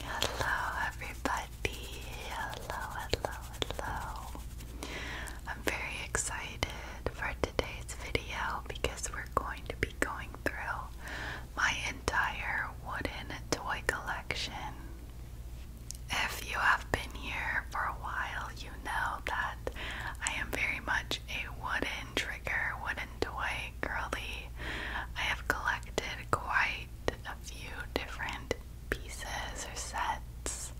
Hello, everybody. Hello, hello, hello. I'm very excited for today's video because we're going to be going through my entire wooden toy collection. If you have been here for a while, you know that I am very much a wooden trigger, wooden toy girly. I have collected quite a few different pieces or sets.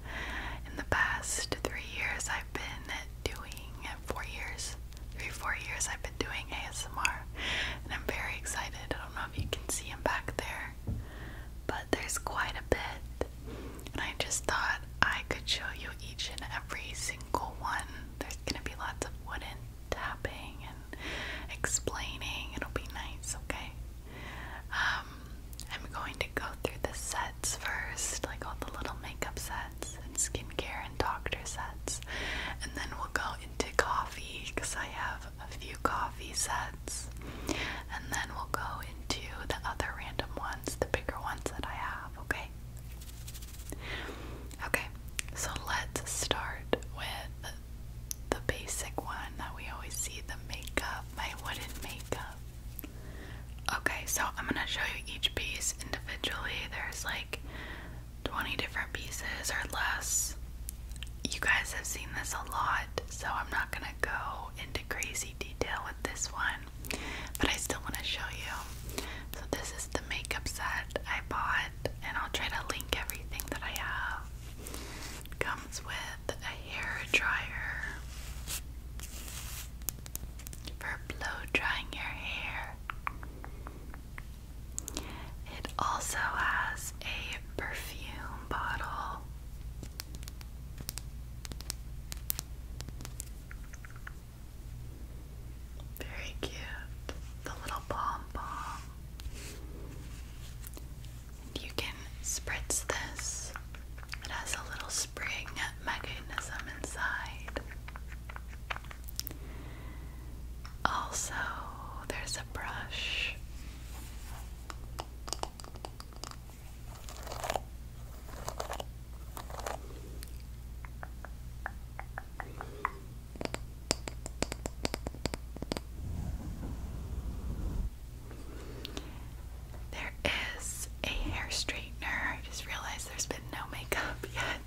In the past three years, I've been doing four years, three, four years, I've been doing ASMR, and I'm very excited. I don't know if you can see him back there, but there's quite a bit, and I just thought I could show you each and every single one. There's gonna be lots of wooden tapping and explaining. It'll be nice, okay? Um, I'm going to go through the sets first, like all the little makeup sets and skincare and doctor sets, and then we'll go into coffee because I have a few coffee sets, and then we'll go into the other random ones, the bigger ones that I have, okay? Okay, so let's start with the basic one that we always see, the makeup, my wooden makeup. Okay, so I'm gonna show you each piece individually. There's like 20 different pieces or less. You guys have seen this a lot, so I'm not gonna go into crazy detail with this one, but I still wanna show you. So, this is the makeup set I bought, and I'll try to link everything that I have it comes with a hair dryer for blow drying your hair. It also has a perfume bottle. Very cute. The little pom pom. You can spritz this. It has a little spring mechanism inside. Also, there's a brush. There is a hair straightener. I just realized there's been no makeup yet.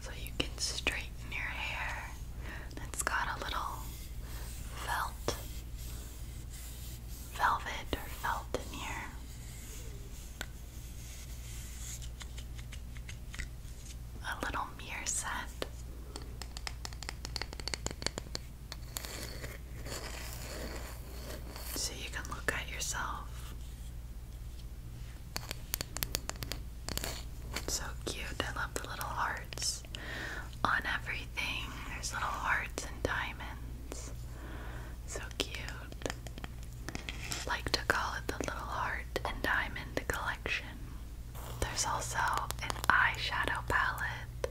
So you can straighten your hair. It's got a little felt, velvet or felt in here. A little mirror set. So you can look at yourself. So cute. I love the little hearts on everything. There's little hearts and diamonds. So cute like to call it the little heart and diamond collection. There's also an eyeshadow palette.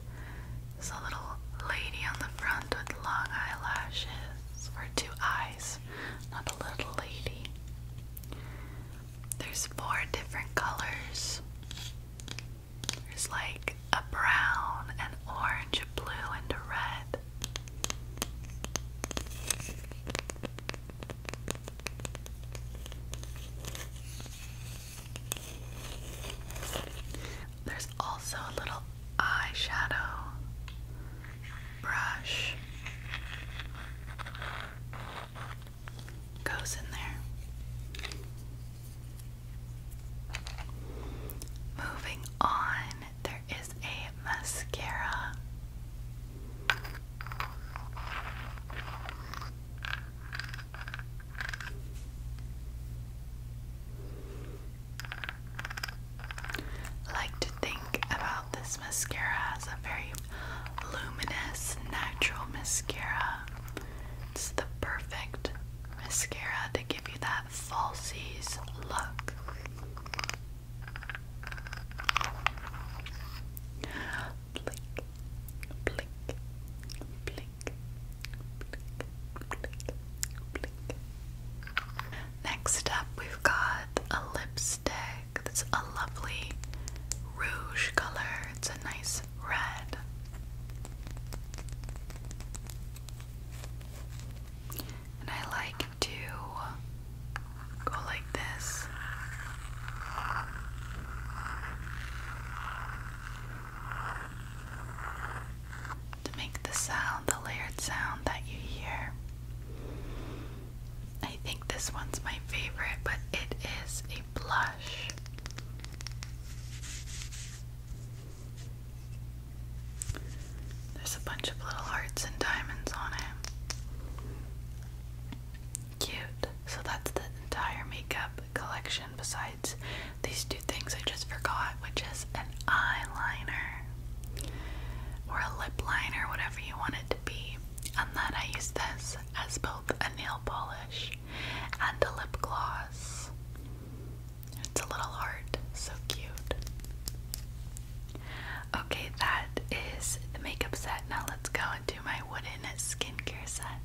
There's a little lady on the front with long eyelashes or two eyes, not a little lady. There's four different colors. There's like a brown, an orange, a blue, and a red. There's also a little eyeshadow brush goes in there. Moving on there is a mascara. Like to think about this mascara as a very luminous, natural mascara. It's the perfect mascara to give you that falsies look. Blink, blink, blink, blink, blink, blink. Next up, we've got a lipstick that's a lovely rouge color, it's a nice red and I like to go like this. To make the sound, the layered sound that you hear. I think this one's my favorite, but it is a blush. There's a bunch of little hearts and diamonds on it. Cute. So that's the entire makeup collection besides these two things I just forgot, which is an eyeliner or a lip liner, whatever you want to be. And then I use this as both a nail polish and a lip gloss. It's a little heart, so cute. Okay, that is the makeup set. Now let's go into my wooden skincare set.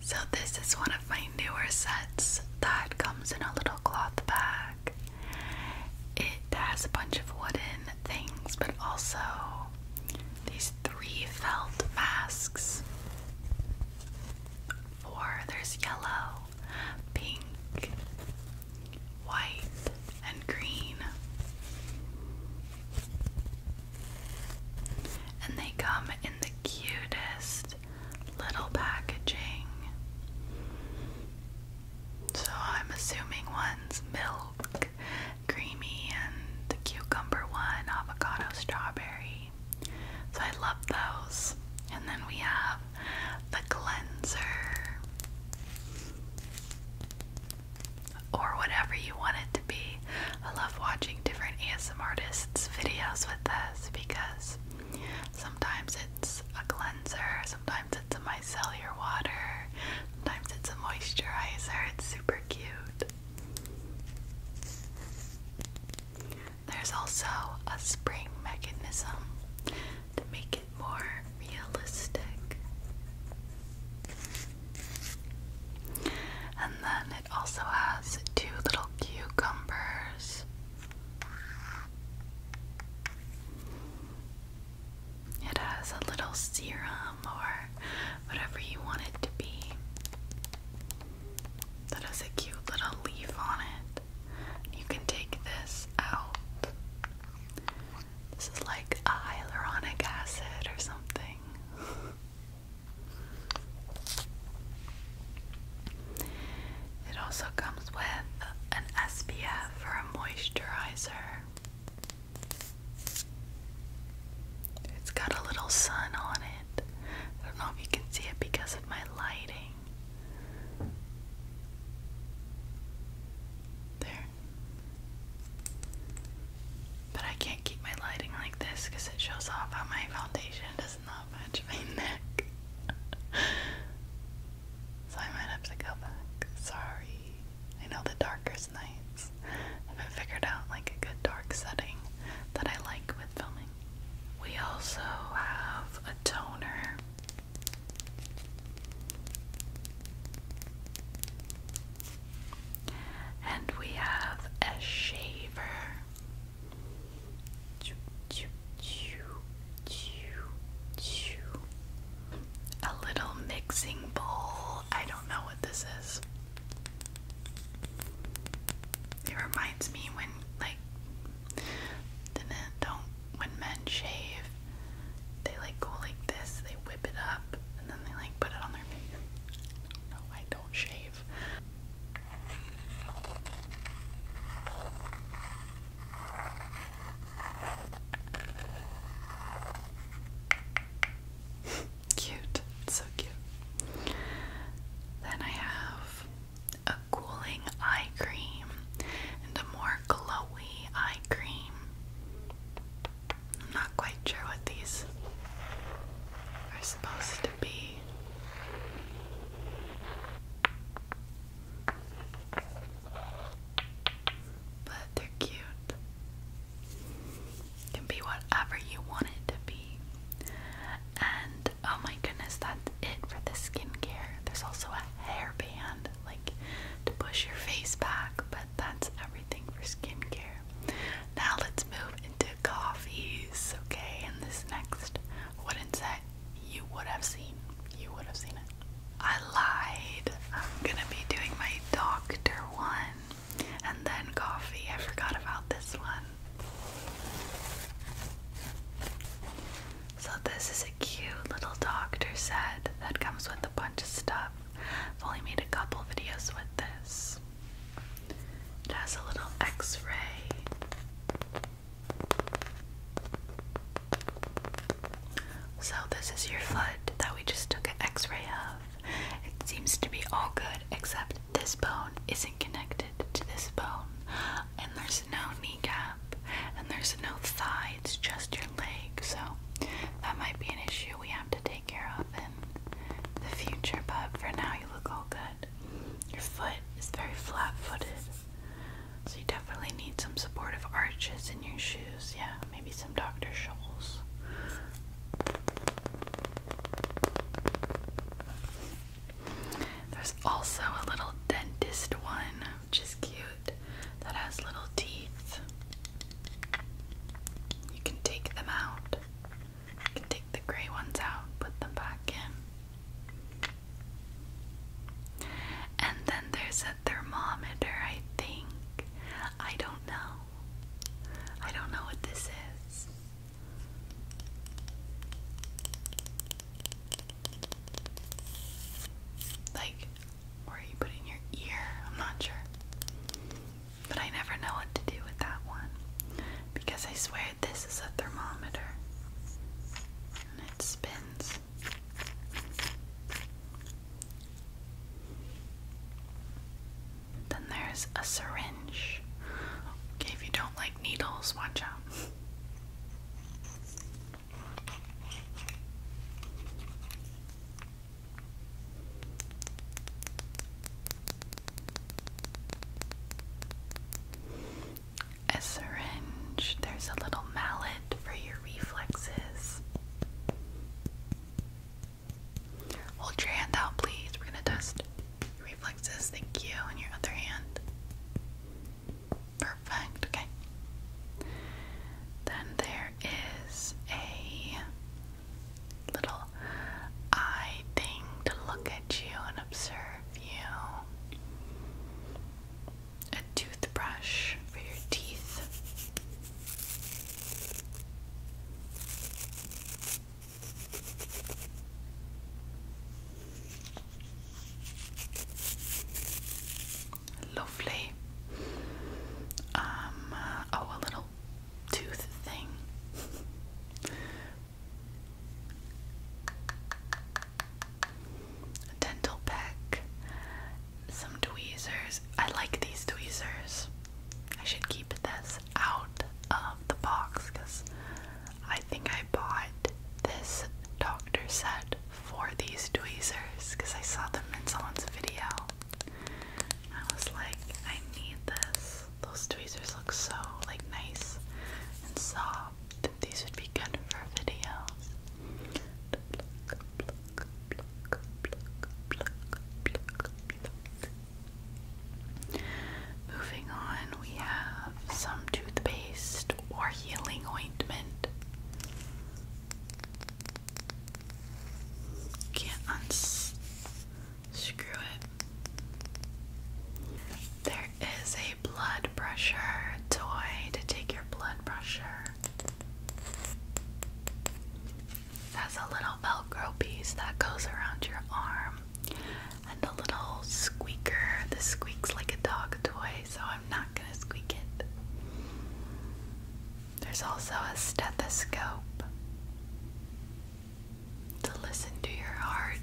So, this is one of my newer sets that comes in a little cloth bag. It has a bunch of wooden things, but also these three felt masks. Four, there's yellow, pink, white, and green. And they come in the cutest little packaging. So I'm assuming one's milk, creamy, and the cucumber one, avocado, strawberry. So I love those. And then we have the cleanser, or whatever you want it to be. I love watching different ASM artists' videos with this because sometimes it's a cleanser, sometimes it's a micellar water, sometimes it's a moisturizer. It's super cute. There's also a spring mechanism to make it more realistic. And then it also has two little cucumbers. It has a little serum or whatever you want it to be. That has a cute little leaf on it. You can take this out. This is like a hyaluronic acid or something. It also comes with an SPF or a moisturizer. It's got a little sun on it. I don't know if you can see it because of my lighting. There. But I can't keep my lighting like this because it shows off how my foundation does not match my neck. so I might have to go back. Sorry. I know the darkest nights. I haven't figured out like a good dark setting that I like with filming. We also have a toner and we have a shaver. A little mixing bowl. I don't know what this is. It reminds me when, like, and uh, don't when men shave, they like go like this, they whip it up, and then they like put it on their face. No, I don't shave. cute, so cute. Then I have cooling eye cream and a more glowy eye cream. not quite sure what these are supposed to be. But they're cute. can be whatever you want it to be. And oh my goodness, that's it for the skincare. There's also a hairband, like to push your face back, but that's everything for skincare. Now let's move into coffees, okay? In this next wooden set you would have seen. You would have seen it. I lied. I'm gonna be doing my doctor one and then coffee. I forgot about this one. So this is a cute little doctor set that comes with a bunch of stuff. I've only made a couple videos with this. It has a little x-ray. So this is your foot that we just took an x-ray of. It seems to be all good except this bone isn't connected to this bone and there's no knee cap, and there's no thigh, it's just your leg. So that might be an issue we have to take care of in the future, but for now you look all good. Your foot is very flat footed. So you definitely need some supportive arches in your shoes. Yeah, maybe some Dr. Scholl's. There's also a little dentist one which is cute, that has little teeth. You can take them out. You can take the gray ones out, put them back in. And then there's a thermometer, I think. I don't know. I don't know what this is. Like, where you put in your ear, I'm not sure. But I never know what to do with that one. Because I swear this is a thermometer. And it spins. Then there's a syringe. Okay, if you don't like needles, watch out. A syringe, there's a little mallet for your reflexes. Hold your hand out, please. We're gonna test your reflexes. Thank you. And your other hand. Perfect, okay. Then there is a little eye thing to look at you and observe you. A toothbrush for your teeth. Lovely. Um, uh, oh, a little tooth thing. dental pack. Some tweezers. I like these tweezers. I should keep this out of the box because I think I bought this doctor set for these tweezers because I saw them in someone's video. I was like, I need this. Those tweezers look so like nice and soft. These would be good for a video. Moving on, we have some toothpaste or healing ointment. Can't unscrew it. There is a blood pressure toy to take your blood pressure. That's a little velcro piece that goes around your arm. And a little squeaker. This squeaks like a dog toy so I'm not going to squeak it. There's also a stethoscope to listen to your heart.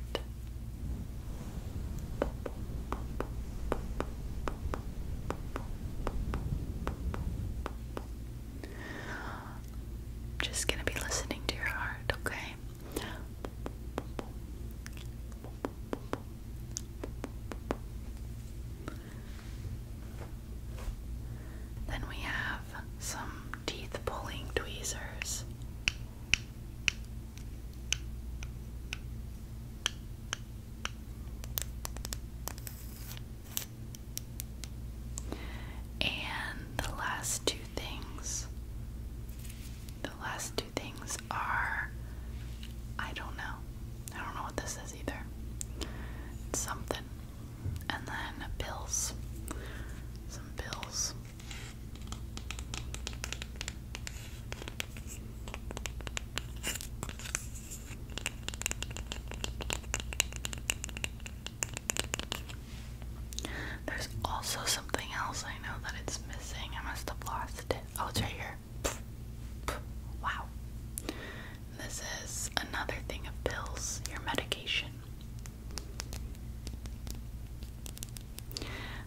Just going to be listening to your heart, okay? Then we have some teeth pulling tweezers. And the last two things the last two things are I don't know. I don't know what this is either. something. And then pills. Some pills. There's also something else I know that it's missing. I must have lost it. Oh, it's right here. Wow. This is another thing of pills, your medication.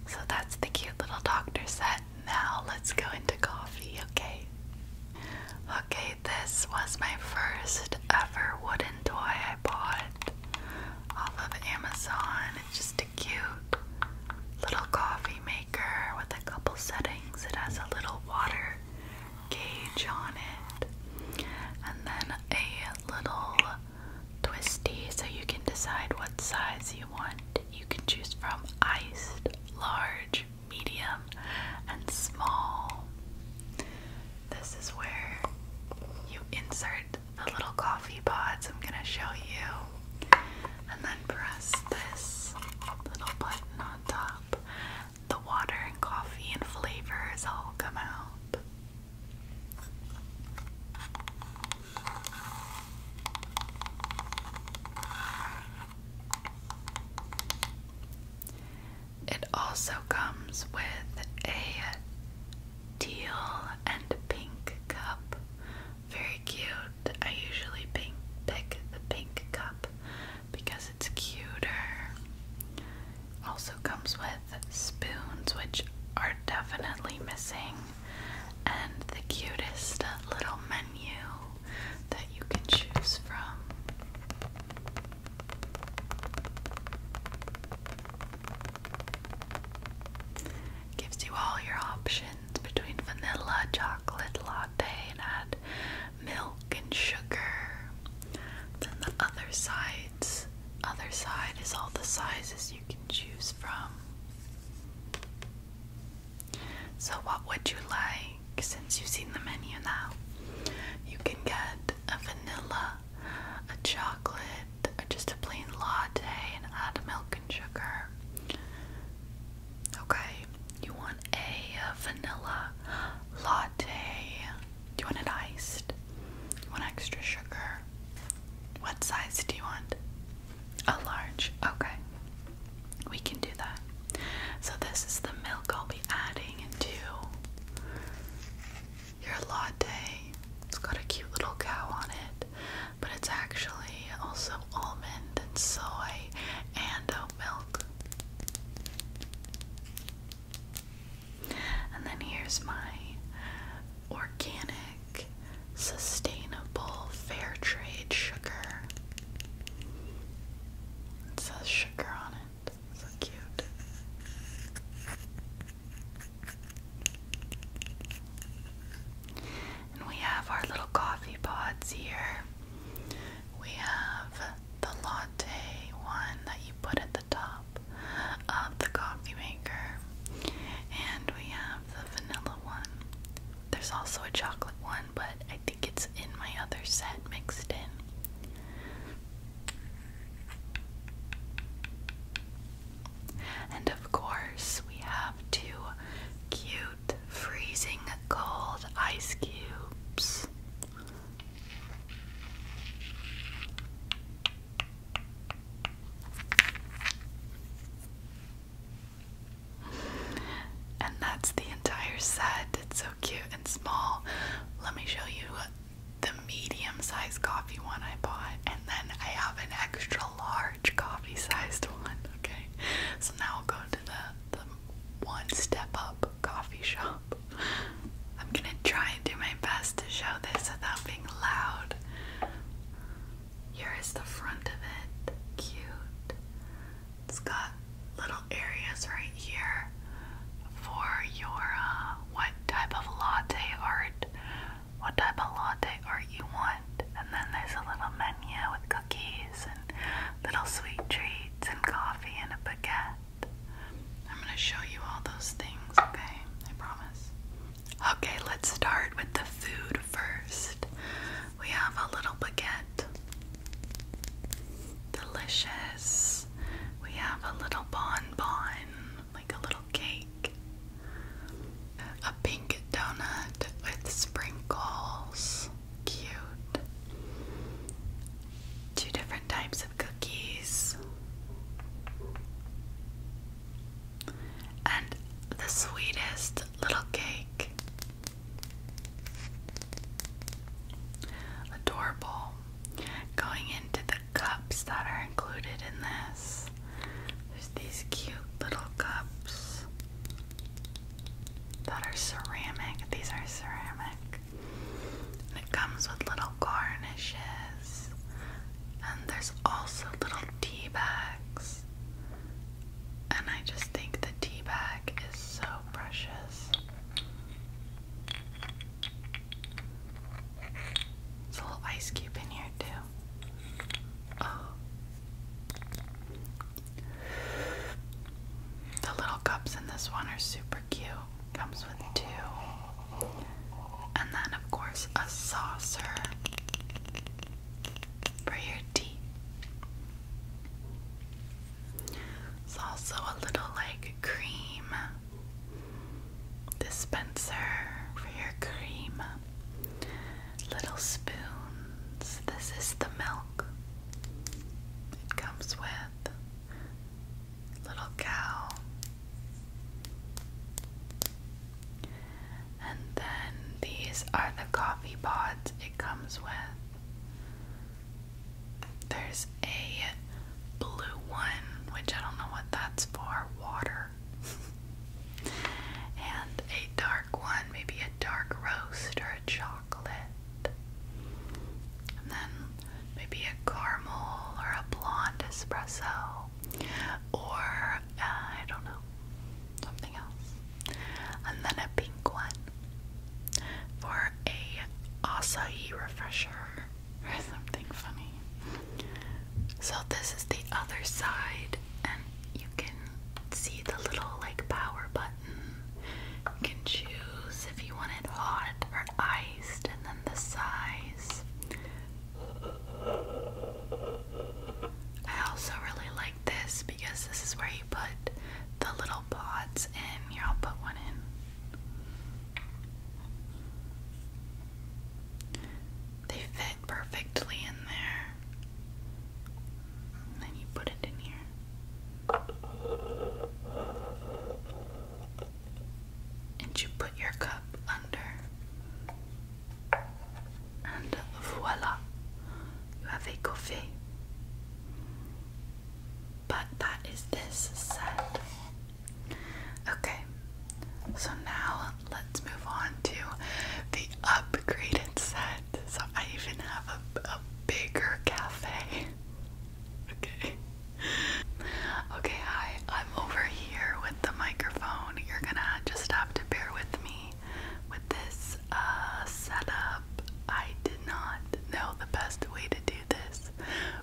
So that's the cute little doctor set. Now let's go into coffee, okay? Okay, this was my first ever wooden toy I bought off of Amazon. just cute little coffee maker with a couple settings. It has a little water gauge on it, and then a little twisty so you can decide what size you want. You can choose from iced, large, medium, and small. This is where you insert the little coffee pods. I'm going to show you and then press this little button on top. The water and coffee and flavors all come out. It also comes with a teal and pink cup very cute. I usually pick the pink cup because it's cuter. Also comes with spoons, which are definitely missing, and the cutest little menu that you can choose from. Gives you all your options between vanilla, chocolate, latte, and add milk and sugar. Then the other sides, other side is all the sizes you can choose from. So what would you like since you've seen the menu now? You can get a vanilla, a chocolate, just a plain latte and add milk and sugar. Okay, you want a vanilla latte. Do you want it iced? You want extra sugar? What size do you want? A large. Okay, we can do that. So, this is the milk I'll be adding into your latte. It's got a cute little cow on it. But it's actually also almond and soy and oat milk. And then here's my organic, sustainable, fair trade sugar. It says sugar on it. So cute. And we have our little coffee pods here. We have the latte one that you put at the top of the coffee maker. And we have the vanilla one. There's also a chocolate one, but I think it's in my other set mixed in. And of course, we have two cute freezing cold ice cubes. And that's the entire set. It's so cute and small. Let me show you the medium sized coffee one I bought, and then I have an extra large coffee-sized one. Okay, so now we'll go to the one step up coffee shop. I'm gonna try and do my best to show this without being loud. Here is the front of it. Cute. It's got little areas right here for your uh, what type of latte art, what type of latte art you want, and then there's a little menu with cookies and little sweet treats and coffee and a baguette. I'm going to show you all those things, okay? I promise. Okay, let's start with the food first. We have a little baguette. Delicious. We have a little bon, like a little cake. A pink donut with sprinkles cute. Two different types of cookies. And the sweetest little cake. Adorable. Going into the cups that are included in this. There's these cute little cups that are ceramic. These are ceramic. And it comes with little garnishes. And there's also little tea bags. And I just think the tea bag is so precious. There's a little ice cube in here, too. Oh, the little cups in this one are super cute. Comes with two. And then, of course, a saucer for your tea. It's also a little like cream dispenser for your cream little spoons. This is the milk. It comes with little cow. And then these are the coffee pods it comes with. There's a blue one, which I don't know what that's for, water. and a dark one, maybe dark roast or a chocolate. And then maybe a caramel or a blonde espresso or uh, I don't know, something else. And then a pink one for a acai refresher or something funny. So this is the other side and you can see the little like power button. You can choose if you want it hot or iced, and then the size. I also really like this because this is where you put the little pods in. Here, I'll put one in. They fit perfectly in there. And then you put it in here. And you put your cup under. And voila, you have a coffee. But that is this set. Okay, so now let's move on to the upgraded set. So I even have a, bigger cafe. okay. Okay, hi. I'm over here with the microphone. You're gonna just have to bear with me with this uh, setup. I did not know the best way to do this,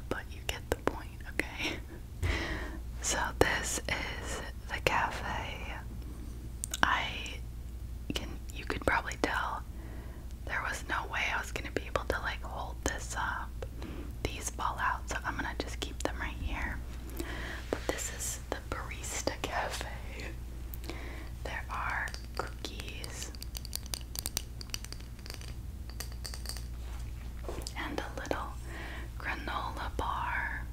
but you get the point, okay? So, this is the cafe. I can you could probably tell there was no way I was gonna be able to like hold this up. These fall out, so I'm gonna just keep them right here. But this is the Barista Cafe. There are cookies and a little granola bar.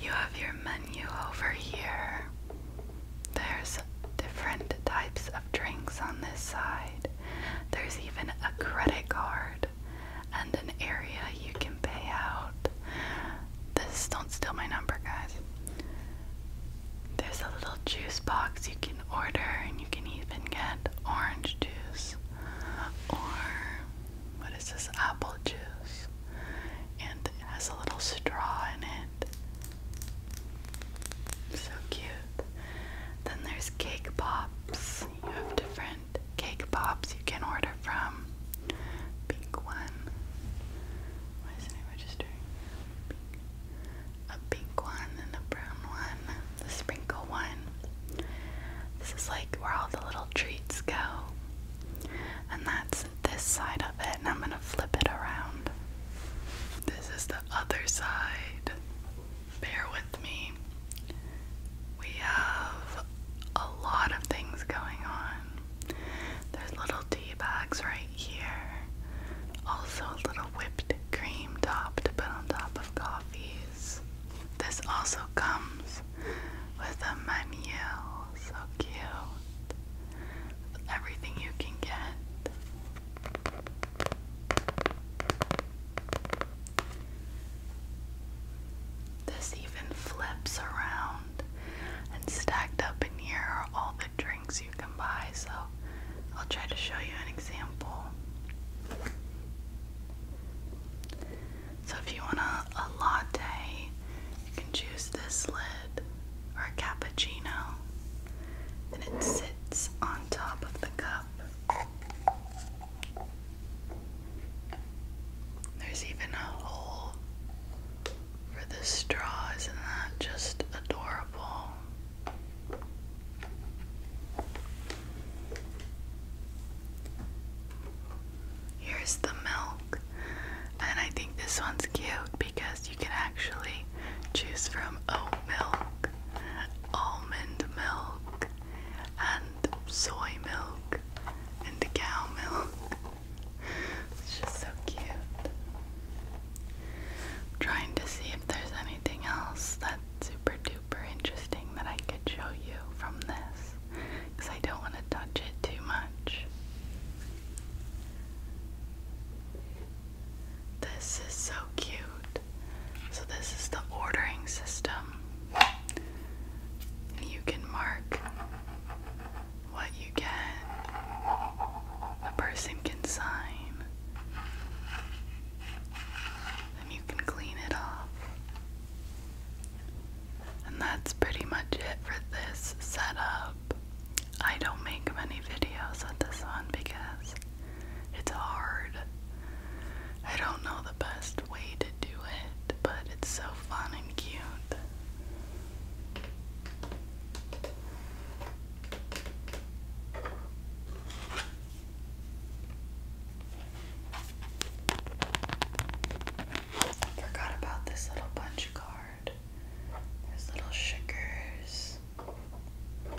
You have your menu over here. There's different types of drinks on this side. There's even a credit card and an area you can pay out. This don't steal my number, guys. There's a little juice box you can order, and you can even get orange juice or what is this? Apple juice. And it has a little straw in it. So cute. Then there's cake pops. You have different cake pops you can order from. Pink one. Why isn't it registering? A pink one and a brown one the sprinkle one. This is like where all the little treats go. And that's this side of it, and I'm gonna flip it around. This is the other side. Bear with me. We have a lot of things going on. There's little tea bags right here. Also, a little whipped cream top to put on top of coffee. This also comes with a menu, so cute. everything you can get. This even flips around and stacked up in here are all the drinks you can buy. So I'll try to show you an example. So if you want a, latte, you can choose this lid or a cappuccino. Then it sits on top of the cup. There's even a hole for the straw, isn't that just adorable? Here's the milk. And I think this one's cute because you can actually choose from oat milk, almond milk, and soy milk, and cow milk. It's just so cute. trying to see if there's anything else that super duper interesting that I could show you from this because I don't want to touch it too much. This is so cute. So, this is the ordering system. You can mark what you get, a person can sign, and you can clean it off. And that's pretty much it for this setup. I don't make many videos on this one because it's hard. I don't know the best way to do it, but it's so fun and cute. Forgot about this little punch card. There's little sugars, a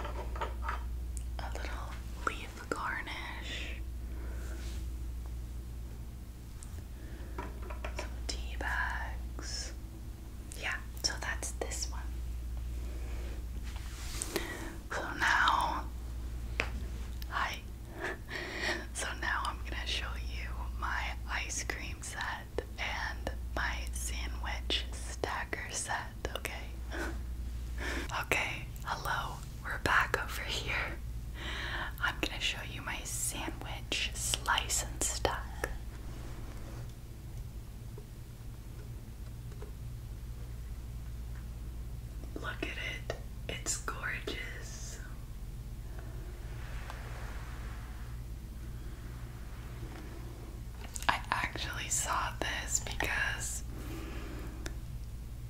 little leaf garnish, some tea bags. Yeah, so that's this one. So now, hi, so now I'm gonna show you my ice cream set and my sandwich stacker set, okay? okay, hello, we're back over here. I'm gonna show you my sandwich slice and stack. Look at it, it's gorgeous. I actually saw this because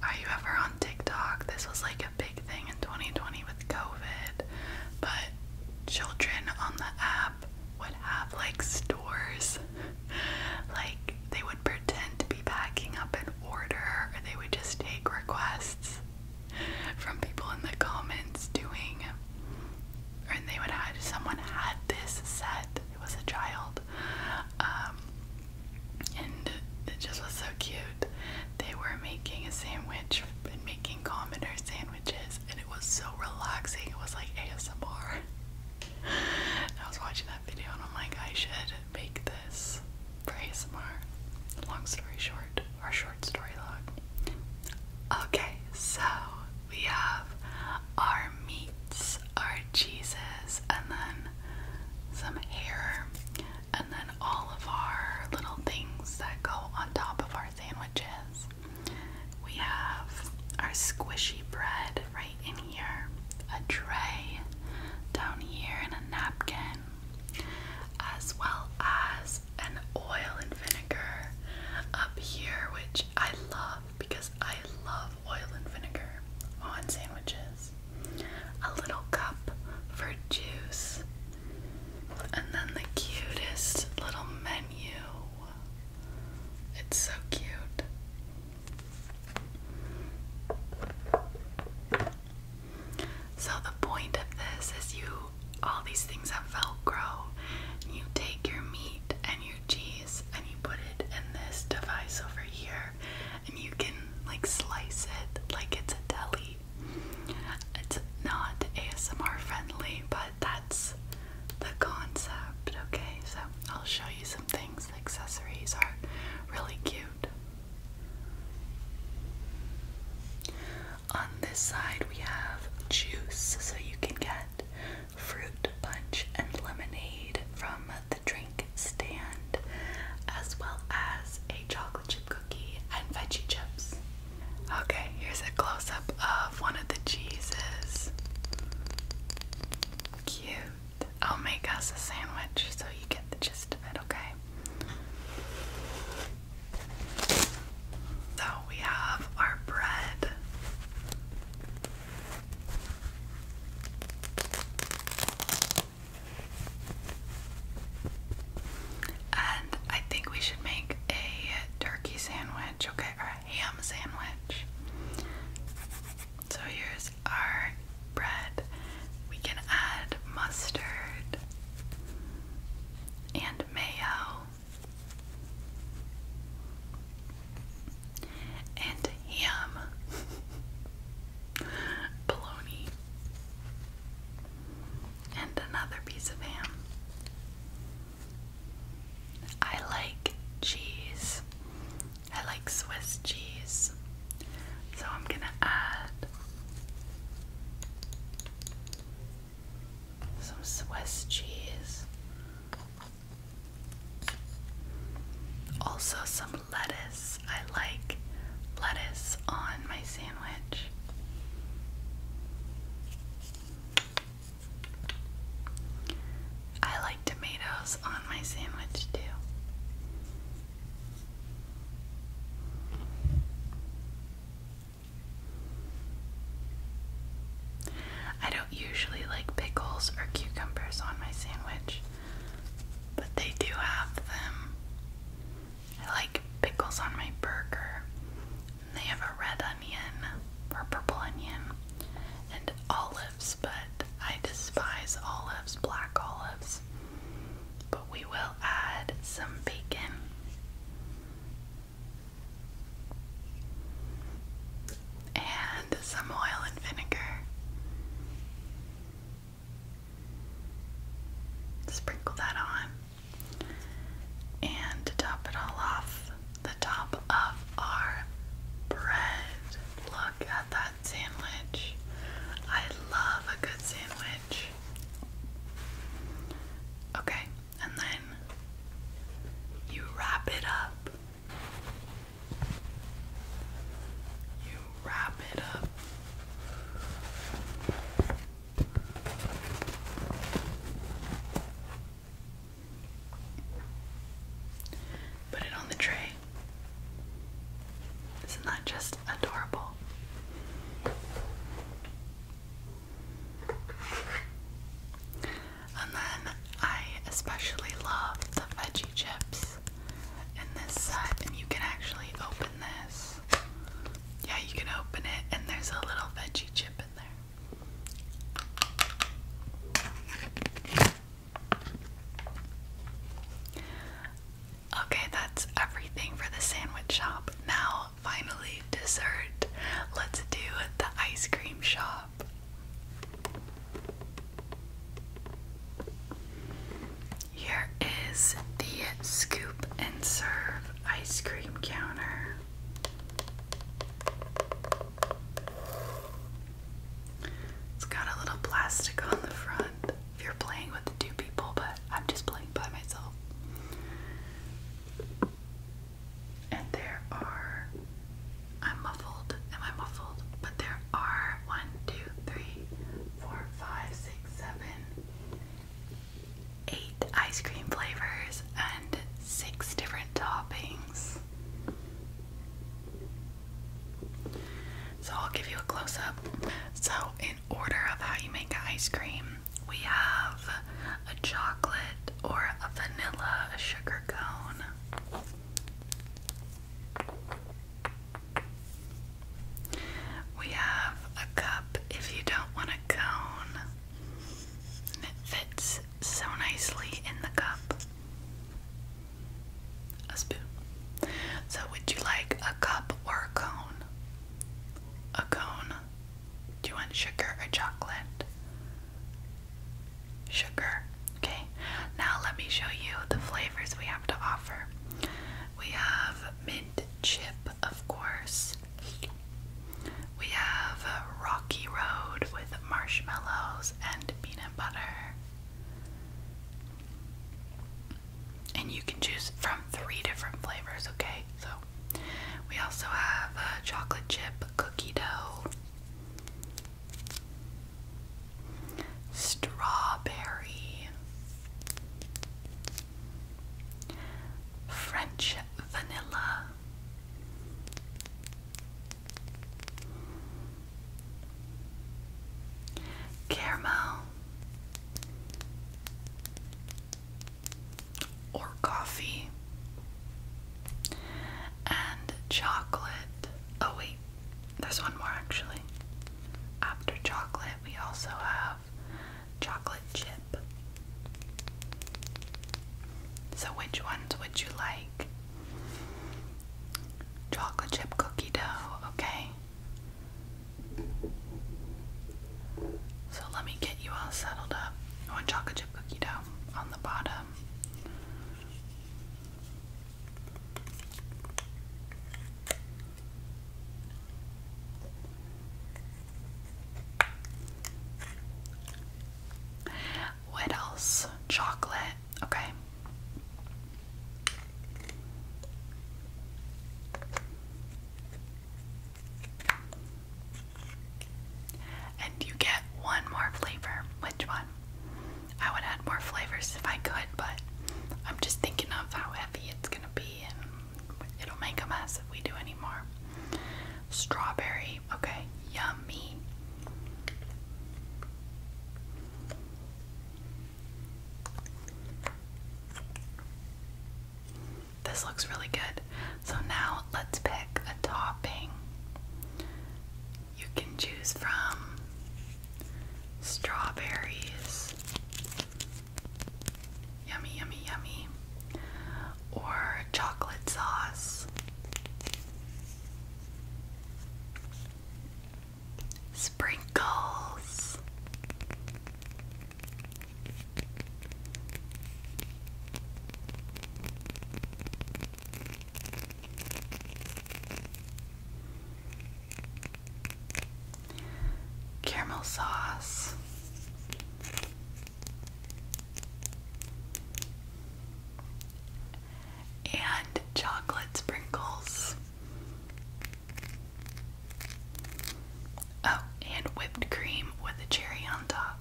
are you ever on TikTok? This was like a big thing in 2020 with COVID, but children on the app would have like stores. like they they would pretend to be packing up an order, or they would just take requests from people in the comments doing, and they would have someone had this set. It was a child, um, and it just was so cute. They were making a sandwich and making commoner sandwiches, and it was so relaxing. It was like ASMR. I was watching that video and I'm like, I should make this for ASMR. Long story short, or short story long. Okay, so we have our meats, our cheeses, and then some hair, and then all of our little things that go on top of our sandwiches. We have our squishy bread right in a tray down here, and a napkin, as well as an oil and vinegar up here, which I love because I love oil and vinegar on sandwiches. A little cup for juice, and then the cutest little menu. It's so cute. So, the point of this is you, all these things have Velcro. You take your meat and your cheese and you put it in this device over here, and you can like slice it like it's a deli. It's not ASMR friendly, but that's the concept, okay? So, I'll show you some things. The accessories are really cute. On this side, we have juice, so you can get fruit punch and lemonade from the drink stand, as well as a chocolate chip cookie and veggie chips. Okay, here's a close up of one of the cheeses. Cute. I'll make us a sandwich so you get the gist of it, okay? So we have our bread. And I think we should make a turkey sandwich, okay, or a ham sandwich. So here's our bread. We can add mustard and mayo and ham. Bologna. And another piece of ham. I like cheese. I like Swiss cheese. So I'm going to add some Swiss cheese. Also, some lettuce. I like lettuce on my sandwich. I like tomatoes on my sandwich too. I don't usually like pickles or cucumbers on my sandwich, but they do have them. I like pickles on my burger. they have a red onion or purple onion and olives, but I despise olives, black olives but we will add some bacon. And some oil and vinegar. Sprinkle that on. And top it all off, the top of our bread. Look at that sandwich. I love a good sandwich. Okay, and then you wrap it up. You wrap it up. Put it on the tray. Isn't that just adorable? And then I especially love the veggie chips in this set, and you can actually open this. Yeah, you can open it, and there's a little veggie chip in there. Okay, that's everything for the sandwich shop. Now, finally, dessert. Let's do the ice cream shop. Here is the scoop and serve ice cream counter. It's got a little plastic on the front if you're playing with two people, but I'm just playing by myself. And there are. I'm muffled. Am I muffled? But there are one, two, three, four, five, six, seven, eight ice cream flavors and six different toppings. So I'll give you a close up. So, in order of how you make ice cream, we have a chocolate or a vanilla sugar cone. We have a cup if you don't want a cone. it fits so nicely in the cup a spoon. So, would you like a cup or a cone? A cone. Do you want sugar or chocolate? Sugar. Okay, now let me show you the flavors we have to offer. We have mint chip, of course. We have Rocky Road with marshmallows and peanut butter and you can choose from three different flavors, okay? So, we also have uh, chocolate chip cookie dough, strawberry, French vanilla. Caramel or coffee and chocolate. Oh, wait, there's one more actually. After chocolate, we also have chocolate chip. So, which ones would you like? Chocolate chip cookie dough, okay? So let me get you all settled up. I want chocolate chip cookie dough on the bottom. What else? Chocolate. Okay. And you get one more flavor. Which one? I would add more flavors if I could, but I'm just thinking of how heavy it's gonna be and it'll make a mess if we do any more. Strawberry, okay, yummy. This looks really good. So now let's pick a topping. You can choose from strawberries, yummy, yummy, yummy, or chocolate sauce sprinkles. Caramel sauce, and chocolate sprinkles. Oh, and whipped cream with a cherry on top.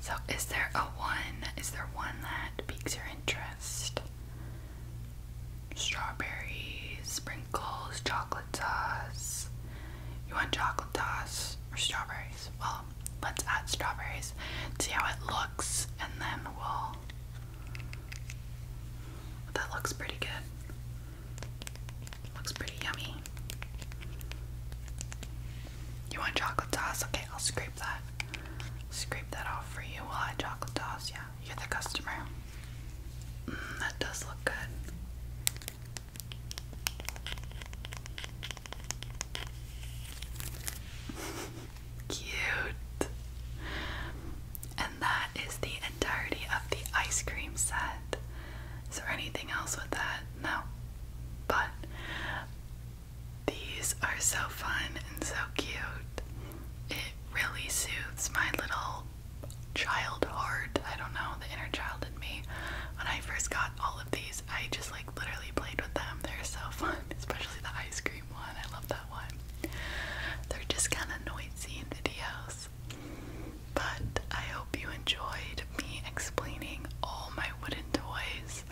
so, is there a one? Is there one that piques your interest? Strawberries, sprinkles, chocolate sauce. You want chocolate sauce or strawberries? Well, let's add strawberries, see how it looks, and then we'll. That looks pretty good. Looks pretty yummy. You want chocolate sauce? Okay, I'll scrape that. Scrape that off for you. We'll add chocolate sauce. Yeah, you're the customer. Mm, that does look good. Cute. And that is the entirety of the ice cream set. Is there anything else with that? No. But these are so fun and so cute. It really soothes my little child heart. I don't know, the inner child in me. When I first got all of these, I just like literally played with them. They're so fun, especially the ice cream one. I love that one. They're just kind of noisy in videos. But I hope you enjoyed me explaining all my wooden toys.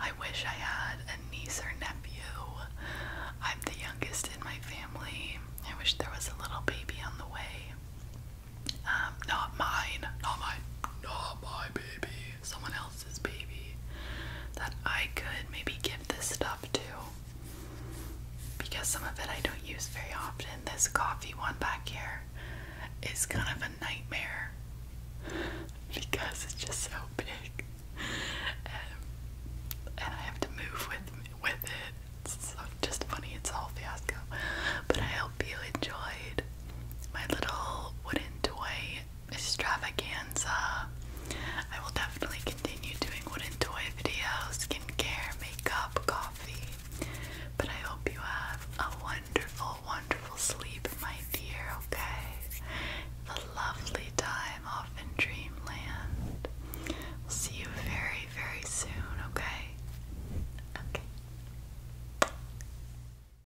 I wish I had a niece or nephew. I'm the youngest in my family. I wish there was a little baby on the way. Um, not mine. Not my, not my baby someone else's baby that I could maybe give this stuff to because some of it I don't use very often. This coffee one back here is kind of a nightmare because it's just so big um, and, I have to move with with it. so just funny, it's all fiasco. But I hope you enjoyed my little wooden toy extravaganza. I will definitely continue doing wooden toy videos, skincare, makeup, coffee. But I hope you have a wonderful, wonderful sleep, my dear, okay? A lovely time off in dreamland. We'll see you very, very soon, okay? Okay.